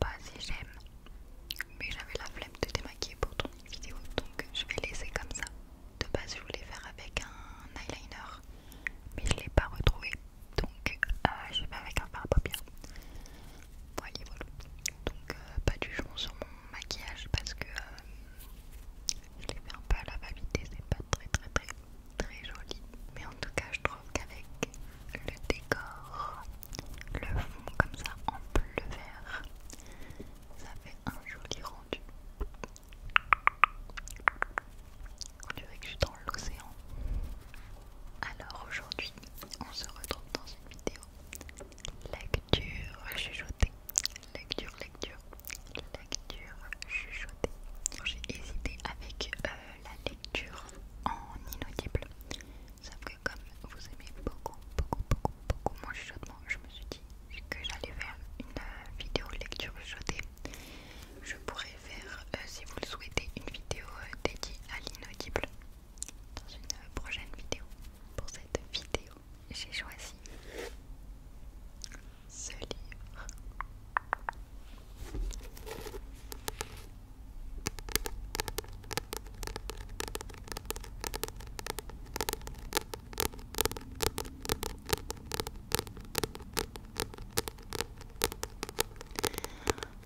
pas si j'aime mais j'avais la flemme de démaquiller pour tourner une vidéo donc je vais laisser comme ça de base je voulais faire avec un eyeliner mais je l'ai pas retrouvé donc euh, je vais avec un fard à voilà, donc euh, pas du jour sur mon maquillage parce que euh, je l'ai fait un peu à la va et c'est pas très très très très joli mais en tout cas je trouve qu'avec le décor le fond comme ça en bleu vert. Ça fait un joli rendu. On dirait que je suis dans l'océan. Alors aujourd'hui, on se retrouve dans une vidéo lecture chuchotée. Lecture, lecture, lecture chuchotée. J'ai hésité avec euh, la lecture en inaudible Sauf que comme vous aimez beaucoup, beaucoup, beaucoup, beaucoup mon chuchotement, je me suis dit que j'allais faire une euh, vidéo lecture chuchotée. Je pourrais faire, euh, si vous le souhaitez, une vidéo euh, dédiée à l'inaudible dans une prochaine vidéo. Pour cette vidéo, j'ai choisi ce livre.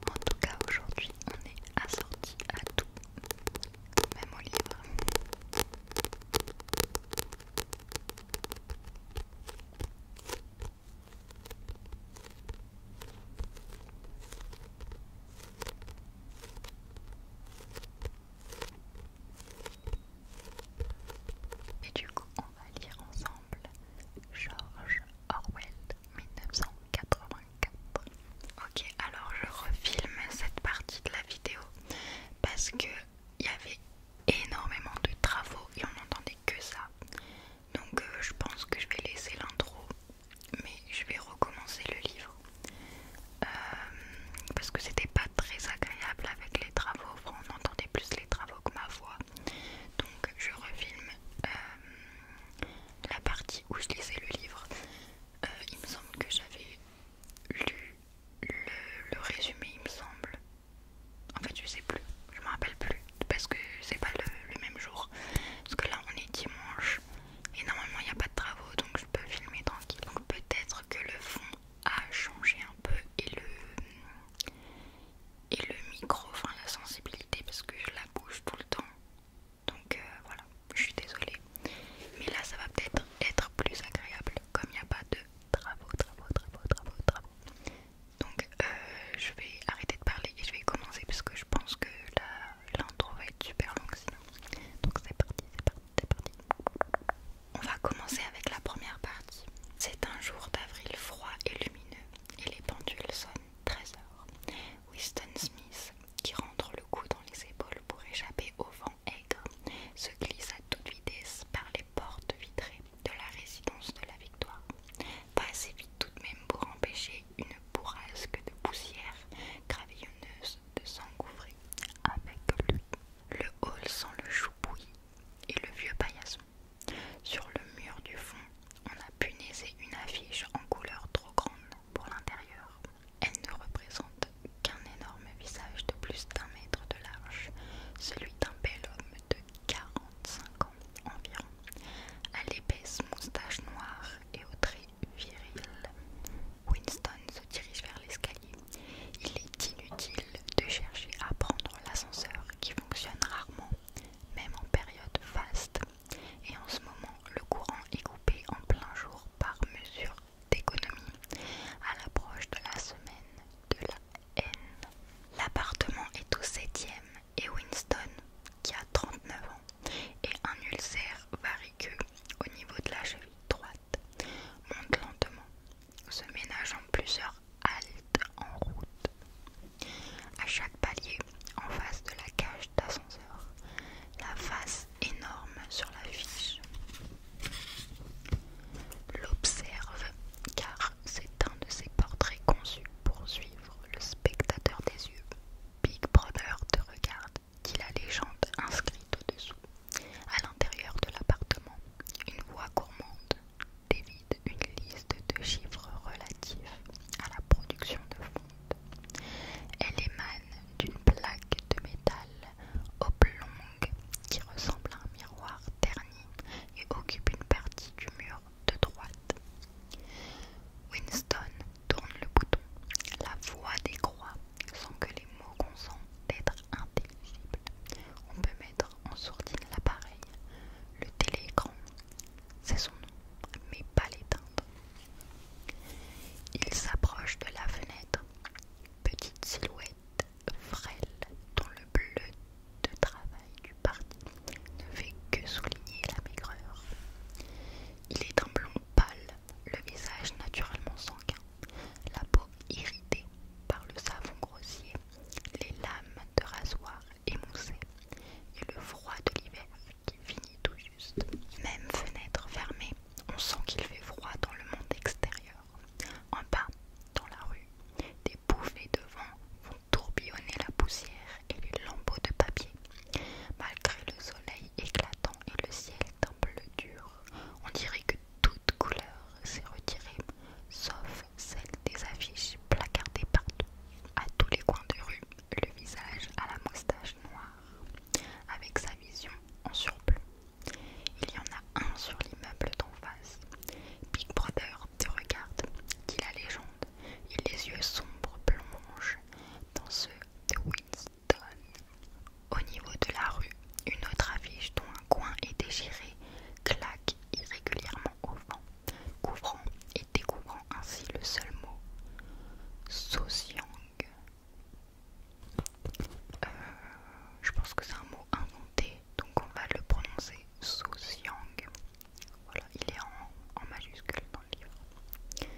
En tout cas, aujourd'hui, on est assorti à tout, même au livre. Et du coup, on va lire ensemble George Orwell 1984. Ok, alors je refilme cette partie de la vidéo parce que il y avait énormément de travaux et on n'entendait que ça. Donc euh, je pense que je vais laisser l'intro mais je vais recommencer le livre euh, parce que c'était pas très agréable avec les travaux. on entendait plus les travaux que ma voix, donc je refilme euh, la partie où je lisais le livre. Euh, il me semble que j'avais lu le, résumé, il me semble. En fait, je sais plus, je me rappelle plus parce que c'est pas le même jour. Parce que là, on est dimanche et normalement, il n'y a pas de travaux, donc je peux filmer tranquille. Donc peut-être que le fond a changé un peu et le, et le micro, enfin la sensibilité, parce que je la bouge tout le temps. Donc euh, voilà, je suis désolée. Mais là, ça va peut-être être plus agréable, comme il n'y a pas de travaux, travaux, travaux, travaux, travaux. Donc euh, je vais arrêter de parler et je vais commencer parce que je pense que la l'intro va être super longue sinon. Donc c'est parti, c'est parti, c'est parti. On va commencer avec la première partie. C'est un jour d'avril froid et lumineux et les pendules sonnent 13 heures. Winston Smith, qui rentre le cou dans les épaules pour échapper au vent aigre, se glisse à toute vitesse par les portes vitrées de la résidence de la victoire. Pas assez vite tout de même pour empêcher une bourrasque de poussière gravillonneuse de s'engouffrer avec lui. Le hall sent le chou et le vieux paillasson. Sur le mur du fond, on a punaisé une affiche en couleur trop grande pour l'intérieur. Elle ne représente qu'un énorme visage de plus d'un mètre de large, celui d'un bel homme de 45 ans environ, à l'épaisse moustache noire et aux traits viril. Winston se dirige vers l'escalier. Il est inutile de chercher à prendre l'ascenseur qui fonctionne rarement, même en période vaste, Et en ce moment, le courant est coupé en plein jour par mesure d'économie à l'approche de la semaine de la haine. L'appartement est au septième et Winston, qui a 39 ans, et un ulcère variqueux au niveau de la cheville droite monte lentement, se ménage en plusieurs haltes en route. À chaque palier, en face de la cage d'ascenseur, la face énorme sur l'affiche l'observe car c'est un de ses portraits conçus pour suivre le spectateur des yeux. Big Brother te regarde dit la légende inscrite au-dessous. À l'intérieur de l'appartement, une voix gourmande dévide une liste de chiffres relatifs à la production de fonds. Elle émane d'une plaque de métal oblongue qui ressemble à un miroir terni et occupe une partie du mur de droite. Winston tourne le bouton. La voix décroît sans que les mots consentent d'être intelligibles. On peut mettre en sourdine l'appareil. Le télécran, c'est son nom, mais pas l'éteindre. Il s'approche de la fenêtre. Petite silhouette frêle dont le bleu de travail du parti ne fait que souligner la maigreur. Il est un blond pâle le visage naturellement sanguin, la peau irritée par le savon grossier, les lames de rasoir émoussées et le froid de l'hiver qui finit tout juste. Même fenêtre fermée, on sent qu'il fait froid dans le monde extérieur. En bas, dans la rue, des bouffées de vent vont tourbillonner la poussière et les lambeaux de papier. Malgré le soleil éclatant, et le ciel d'un bleu dur. On dirait que toute couleur s'est retirée, sauf celle des affiches placardées partout, à tous les coins de rue, le visage à la moustache noire, avec sa vision en surplus. Il y en a un sur l'immeuble d'en face. Big Brother te regarde, dit la légende, et les yeux sombres plongent dans ceux de Wins. Au niveau de la rue, une autre affiche dont un coin est déchiré claque irrégulièrement au vent, couvrant et découvrant ainsi le seul mot Sociang. Euh, je pense que c'est un mot inventé, donc on va le prononcer Sociang. Voilà, il est en majuscule dans le livre.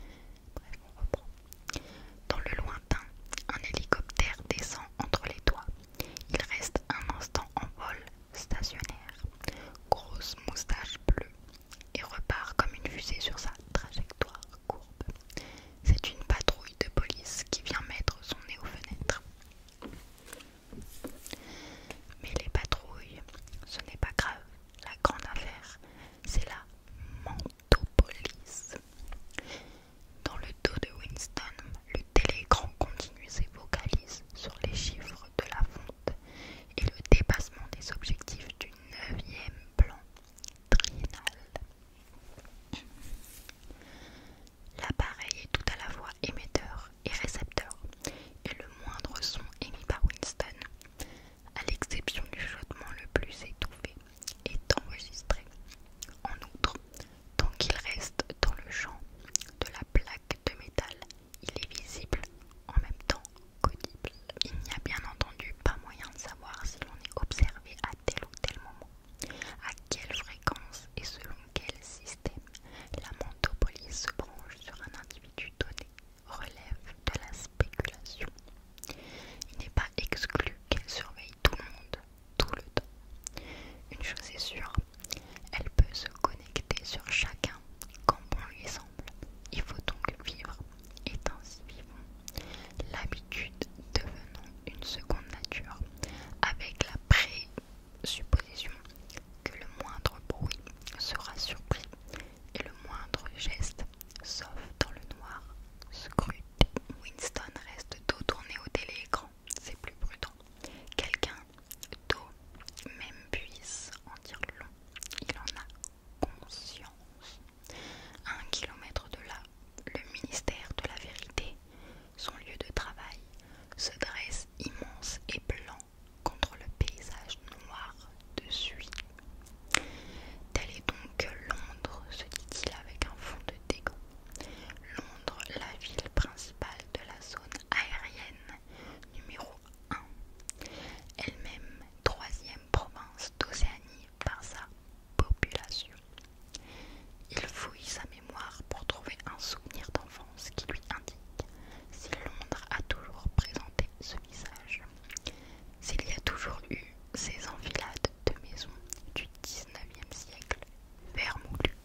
Dans le lointain, un hélicoptère descend entre les toits. Il reste un instant en vol, stationnaire, grosse moustache bleue, et repart comme une fusée sur sa trajectoire courbe. C'est une patrouille de police qui vient mettre son nez aux fenêtres. Mais les patrouilles, ce n'est pas grave. La grande affaire, c'est la dans le dos de Winston, le télécran continue ses vocalises sur les chiffres de la fonte et le dépassement des objectifs du neuvième plan triennal. L'appareil est tout à la fois émetteur et récepteur, et le moindre son émis par Winston à l'exception du flottement le plus étouffé, est enregistré. En outre, tant qu'il reste dans le champ de la plaque de métal, il est visible en même temps qu'audible. Il n'y a bien entendu pas moyen de savoir si l'on est observé à tel ou tel moment, à quelle fréquence et selon quel système la monopolie se branche sur un individu donné relève de la il n'est pas exclu qu'elle surveille tout le monde, tout le temps. Une chose est sûre, elle peut se connecter sur chacun quand bon lui semble. Il faut donc vivre, et ainsi vivant. l'habitude devenant une seconde nature, avec la présupposition que le moindre bruit sera surpris et le moindre geste, sauf dans le noir, scruté. Winston reste dos tourné au téléécran, c'est plus prudent. Quelqu'un, dos, même puisse en dire long, il en a conscience. un kilomètre de là, le ministère de la vérité, son lieu de travail, se dresse immense et blanc contre le paysage noir de suite. Tel est donc Londres, se dit-il avec un fond de dégoût. Londres, la ville principale de la zone aérienne, numéro 1, elle-même troisième province d'Océanie par sa population. Il fouille sa mémoire pour trouver un souvenir d'enfance qui lui indique si Londres a toujours présenté ce visage, s'il y a toujours eu ces enfilades de maison du 19e siècle, vermoulues.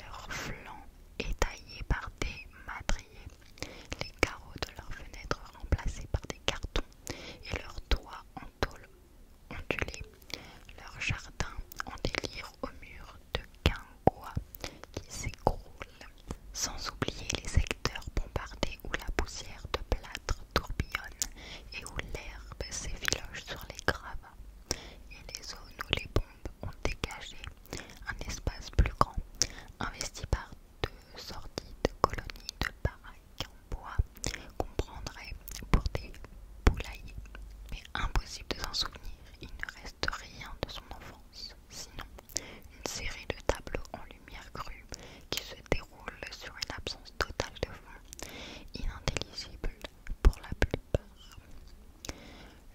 Leur flanc est taillé par des madriers, les carreaux de leurs fenêtres remplacés par des cartons et leurs toits en tôle ondulée, leur jardin en délire au mur de guingois qui s'écroule sans oublier les secteurs bombardés où la poussière de plâtre tourbillonne et où l'herbe s'effiloche sur les gravats, et les zones où les bombes ont dégagé un espace plus grand, investi par deux sorties de colonies de baraques en bois qu'on prendrait pour des poulaillers. Mais impossible de s'en souvenir, il ne reste rien de son enfant sinon une série de tableaux en lumière crue qui se déroulent sur une absence totale de fond, inintelligible pour la plupart.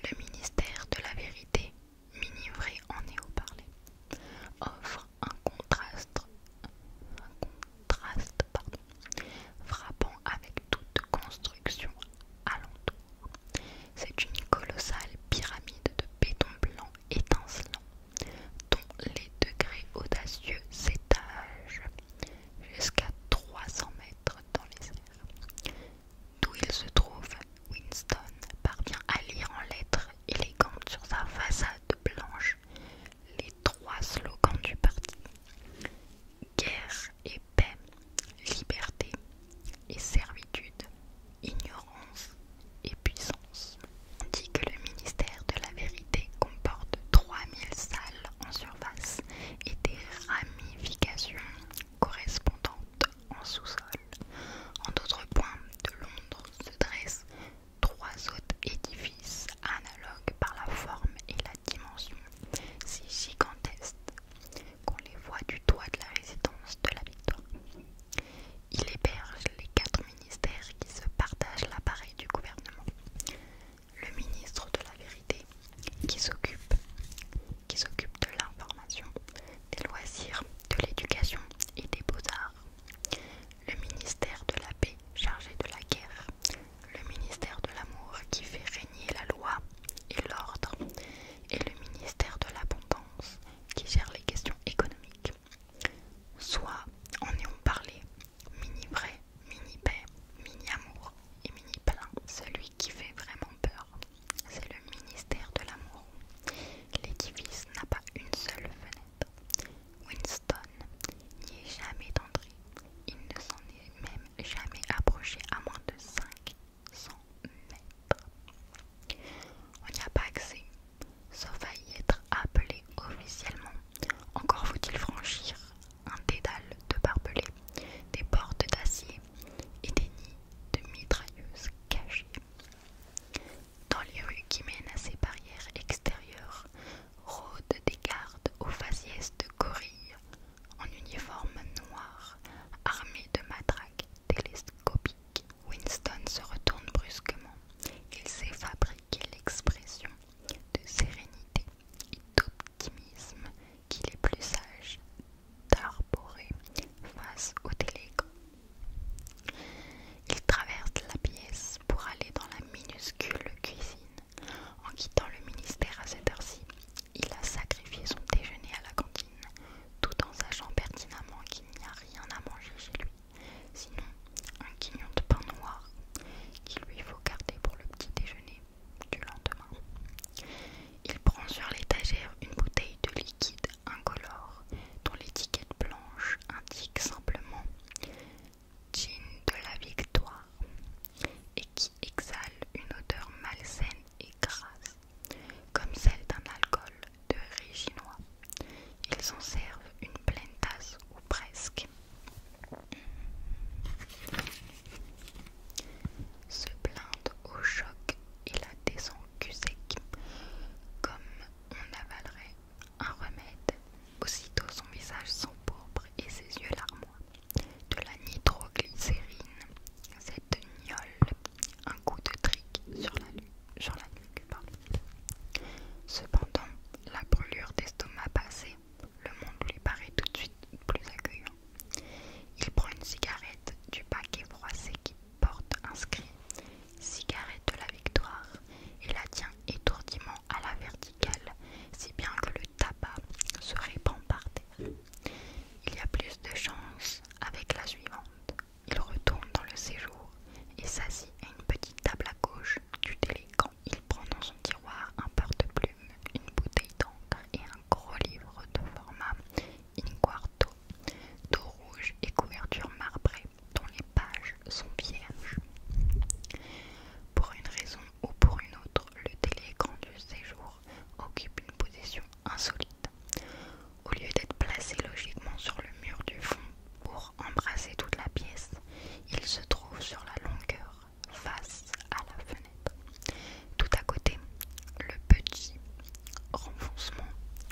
Le ministère de la vérité, minivré en néo-parlé, offre un contraste, frappant avec toute construction alentour. C'est une colossale pyramide de béton blanc étincelant, dont les degrés audacieux s'étagent jusqu'à 300 mètres dans les airs. D'où il se trouve, Winston parvient à lire en lettres élégantes sur sa façade blanche les trois slogans du parti. Guerre et paix, liberté, et servitude, ignorance et puissance. On dit que le ministère de la vérité comporte 3000 salles en surface et des ramifications correspondantes en sous-sol. En d'autres points de Londres se dressent trois autres édifices analogues par la forme et la dimension, si gigantesques qu'on les voit du toit de la résidence de la victoire. Il héberge les quatre ministères qui se partagent l'appareil du gouvernement. Le ministre de la Vérité, qui s'occupe qui s'occupe de l'information, des loisirs, de l'éducation et des beaux-arts. Le ministère de la Paix, chargé de la guerre. Le ministère de l'Amour, qui fait régner la loi et l'ordre. Et le ministère de l'Abondance, qui gère les questions économiques. Soit en ayant parlé, mini vrai, mini paix, mini amour et mini plein. Celui qui fait vraiment peur, c'est le ministère de l'amour. L'édifice n'a pas une seule fenêtre. Winston n'y est jamais entré. Il ne s'en est même jamais approché à moins de 5 on n'y a pas accès, sauf à y être appelé officiellement. Encore faut-il franchir un dédale de barbelés, des portes d'acier et des nids de mitrailleuses cachées. Dans les rues qui mènent à ces barrières extérieures, rôdent des gardes aux faciès de gorilles, en uniforme noir, armés de matraques télescopiques. Winston se retourne brusquement. Il sait fabriquer l'expression de sérénité et d'optimisme qu'il est plus sage d'arborer face au télégramme. Il traverse la pièce pour aller dans la minuscule cuisine. En quittant le ministère à cette heure-ci, il a sacrifié son déjeuner à la cantine tout en sachant pertinemment qu'il n'y a rien à manger chez lui, sinon un quignon de pain noir qu'il lui faut garder pour le petit déjeuner du lendemain. Il prend sur l'étagère une bouteille de liquide incolore dont l'étiquette blanche indique simplement gin de la victoire et qui exhale une odeur malsaine et grasse comme celle d'un alcool de Réginois ils en servent une pleine tasse ou presque. Se plaindre au choc et la descente comme on avalerait un remède. Aussitôt son visage s'empourpre et ses yeux larmois. De la nitroglycérine, cette gnole un coup de trique sur la, nuit Cependant, la brûlure d'estomac passée, le monde lui paraît tout de suite plus accueillant. Il prend une cigarette du paquet froissé qui porte inscrit Cigarette de la victoire et la tient étourdiment à la verticale, si bien que le tabac se répand par terre. Il y a plus de chance avec la suivante. Il retourne dans le séjour et s'assit à une petite table à gauche du déléguant. Il prend dans son tiroir un porte-plume, une bouteille d'encre et un gros livre de format in quarto, dos rouge et couverture marbrée dont les pages sont vierges. Pour une raison ou pour une autre, le déléguant du séjour occupe une position insolite au lieu d'être placé logiquement sur le mur du fond pour embrasser toute la pièce, il se trouve sur la longueur face à la fenêtre. Tout à côté, le petit renfoncement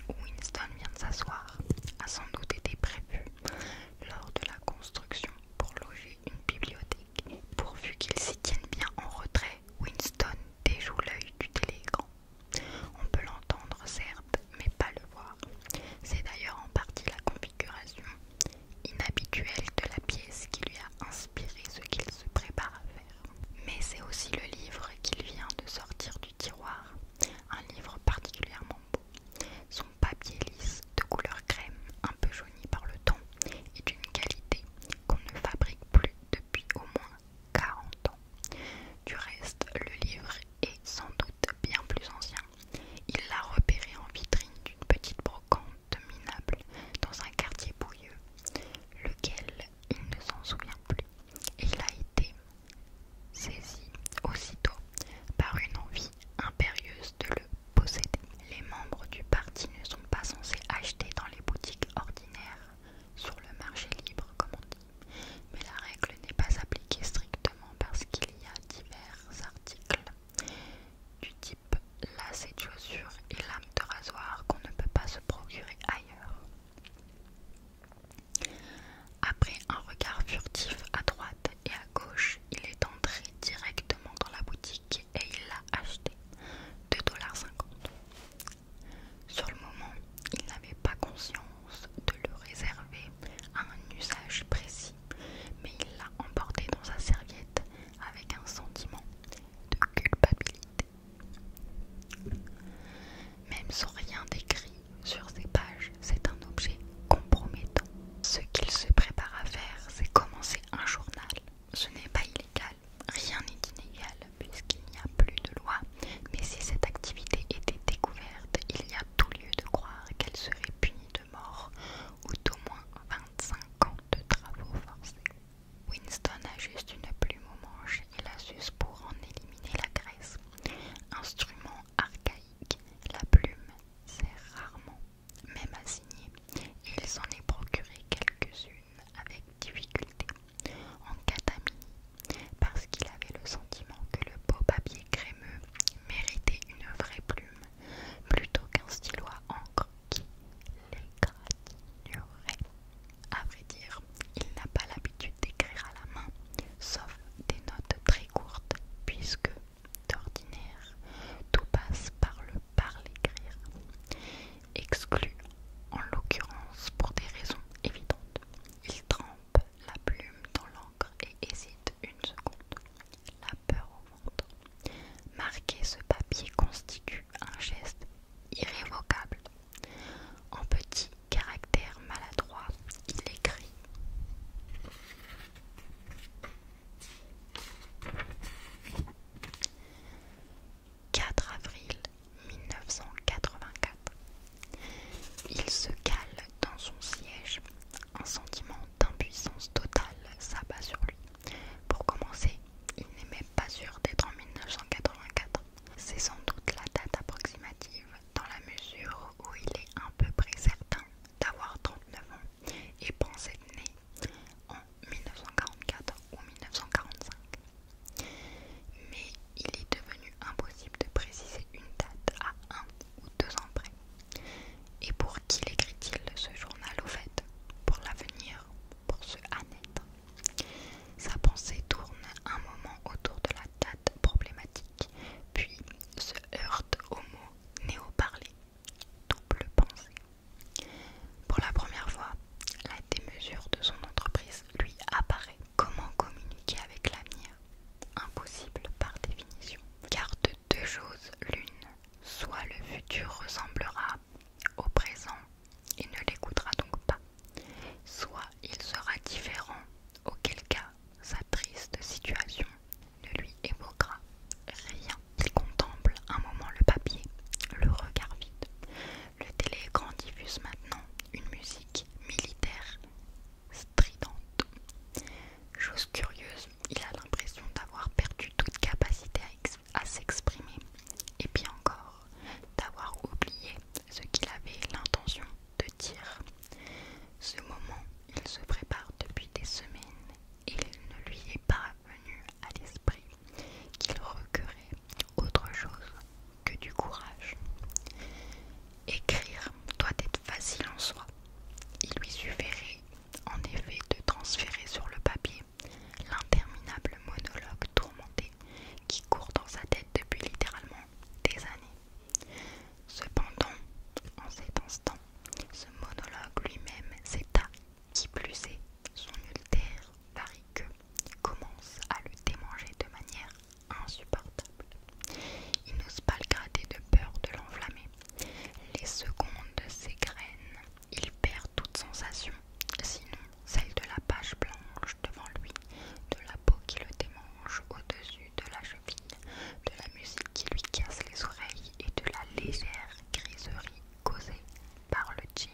où Winston vient de s'asseoir a sans doute été prévu lors de la construction pour loger une bibliothèque. Pourvu qu'il s'y tienne bien en retrait, Winston déjoue l'œil du télégramme on peut l'entendre certes, mais pas le voir. C'est d'ailleurs en partie la configuration inhabituelle de la pièce qui lui a inspiré ce qu'il se prépare à faire. Mais c'est aussi le livre qu'il vient de sortir du tiroir, un livre particulièrement beau. Son papier lisse de couleur crème, un peu jauni par le temps, est d'une qualité qu'on ne fabrique plus depuis au moins 40 ans. Du reste, le livre est sans doute bien plus ancien. Il l'a repéré en vitrine d'une petite brocante minable dans un quartier bouilleux, lequel il ne s'en souvient plus. Et il a été saisi aussitôt par une envie impérieuse de le posséder. Les membres du parti ne sont pas censés acheter dans les boutiques ordinaires sur le marché libre, comme on dit mais la règle n'est pas appliquée strictement parce qu'il y a divers articles du type lacet de chaussures et lame de rasoir qu'on ne peut pas se procurer ailleurs. Après un regard furtif à droite et à gauche, il est entré directement dans la boutique et il l'a acheté 2,50$. Sur le moment, il n'avait pas conscience de le réserver à un usage précis, mais il l'a emporté dans sa serviette avec un sentiment de culpabilité. Même sans rien d'écrit sur ses pages, c'est un objet compromettant. Ce qu'il se prépare à faire, c'est commencer un journal. Ce n'est pas illégal, rien n'est inégal, puisqu'il n'y a plus de loi, mais si cette activité était découverte, il y a tout lieu de croire qu'elle serait punie de mort ou d'au moins 25 ans de travaux forcés. Winston a juste une plume au manche et la suce pour en éliminer la graisse. Instrument archaïque, la plume sert rarement, même à signer. Il s'en est procuré quelques-unes avec difficulté en catamie, parce qu'il avait le sentiment que le beau papier crémeux méritait une vraie plume plutôt qu'un stylo à encre qui l'égratignerait. À vrai dire, il n'a pas l'habitude d'écrire à la main, sauf des notes très courtes, puisque, d'ordinaire, tout passe par le par l'écrire. exclu en l'occurrence pour des raisons évidentes. Il trempe la plume dans l'encre et hésite une seconde. La peur au ventre. Marquer ce papier constitue un geste irrévocable. En petit caractère Maladroit il écrit « 4 avril 1984. Il se cale dans son siège. Un sentiment d'impuissance totale s'abat sur lui. Pour commencer, il n'est même pas sûr d'être en 1984. C'est sans doute la date approximative, dans la mesure où il est à peu près certain d'avoir 39 ans et pense être né en 1944 ou 1945. Mais il est devenu impossible de préciser une date à un ou deux ans près. Et pour qui l'écrit-il ce journal au fait Pour l'avenir, pour ce à Sa pensée tourne un moment autour de la date problématique, puis se heurte au mot néo parler double pensée. Pour la première fois, la démesure de son entreprise lui apparaît. Comment communiquer avec l'avenir Impossible par définition. Car de deux choses l'une, soit le futur ressemblera au présent et ne l'écoutera donc pas, soit il sera différent, auquel cas sa triste situation ne lui évoquera rien. Il contemple un moment le papier, le regard vide. Le téléécran diffuse maintenant une musique militaire stridente. Chose curieuse, il a l'impression d'avoir perdu toute capacité à, s'exprimer et puis encore d'avoir oublié ce qu'il avait l'intention de dire. Ce moment, il se prépare depuis des semaines et il ne lui est pas venu à l'esprit qu'il recueillerait autre chose que du courage. Écrire doit être facile en soi. Il lui suffirait en effet de transférer sur le papier l'interminable monologue tourmenté qui court dans sa tête depuis littéralement des années. Cependant, en cet instant, ce monologue lui-même s'est qui plus est, son ultère que commence à le démanger de manière insupportable. Il n'ose pas le gratter de peur de l'enflammer. Les secondes de ses graines, il perd toute sensation, sinon celle de la page blanche devant lui, de la peau qui le démange au-dessus de la cheville, de la musique qui lui casse les oreilles et de la légère griserie causée par le jean.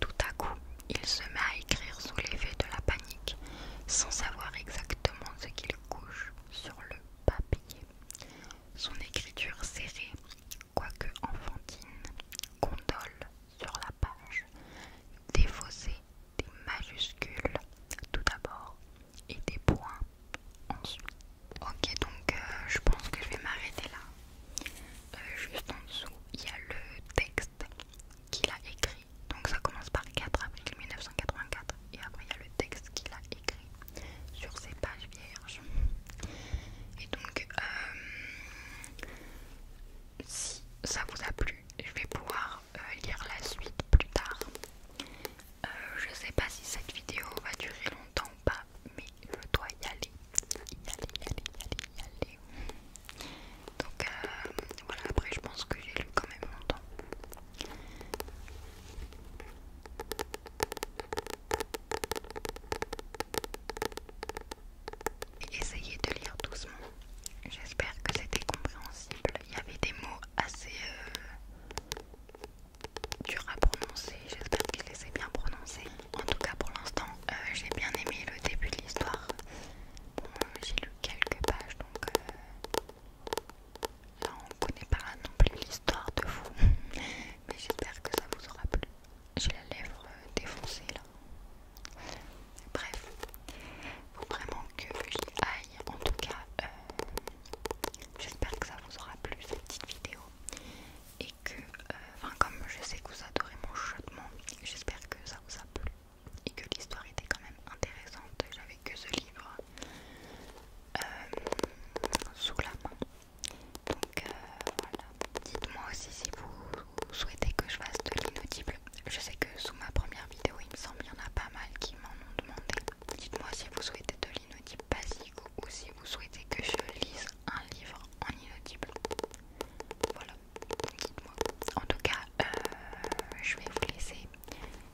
Tout à coup, il se met à écrire sous l'effet de la panique, sans savoir exactement ce qu'il couche sur le papier. Son écriture serrée, quoique enfantine, condole sur la page, fossés, des majuscules tout d'abord et des points ensuite. Ok, donc euh, je pense que je vais m'arrêter là. Euh, juste en dessous, il y a le texte qu'il a écrit. Donc ça commence par 4 avril 1984 et après il y a le texte qu'il a écrit sur ces pages vierges. Et donc euh, si ça vous a plu, je vais pouvoir euh, lire la suite plus tard. Euh, je sais pas si cette vidéo va durer longtemps ou pas, mais je dois y aller. Y aller, y aller, y aller, y aller. Donc euh, voilà, après je pense que j'ai lu quand même longtemps. Essayez de lire doucement. J'espère que c'était compréhensible. Il y avait des mots assez euh, durs à prononcer. J'espère que les ai bien prononcés. En tout cas, pour l'instant, euh, j'ai bien aimé le début de l'histoire. Euh, j'ai lu quelques pages donc euh, là on connaît pas non plus l'histoire de vous, mais j'espère que ça vous aura plu. J'ai la lèvre euh, défoncée là. Bref, faut vraiment que j'y aille. En tout cas, j'espère que ça vous aura plu cette petite vidéo et que, enfin comme je sais que vous adorez mon chuchotement, j'espère que ça vous a plu et que l'histoire était quand même intéressante. J'avais que ce livre euh, sous la main. Donc euh, voilà. Dites-moi aussi si vous souhaitez que je fasse de l'inaudible. Je sais que sous ma première vidéo, il me semble qu'il y en a pas mal qui m'en ont demandé. Dites-moi si vous souhaitez de l'inaudible basique ou si vous souhaitez que je lise un livre en inaudible. Voilà. En tout cas, euh, je vais vous laisser.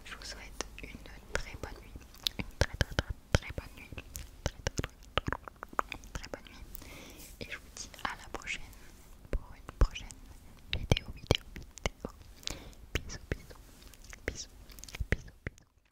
Je vous souhaite une très bonne nuit. Une très très très très bonne nuit. Très bonne nuit. Et je vous dis à la prochaine pour une prochaine vidéo, vidéo, vidéo. Bisous, bisous, bisous, bisous, bisous.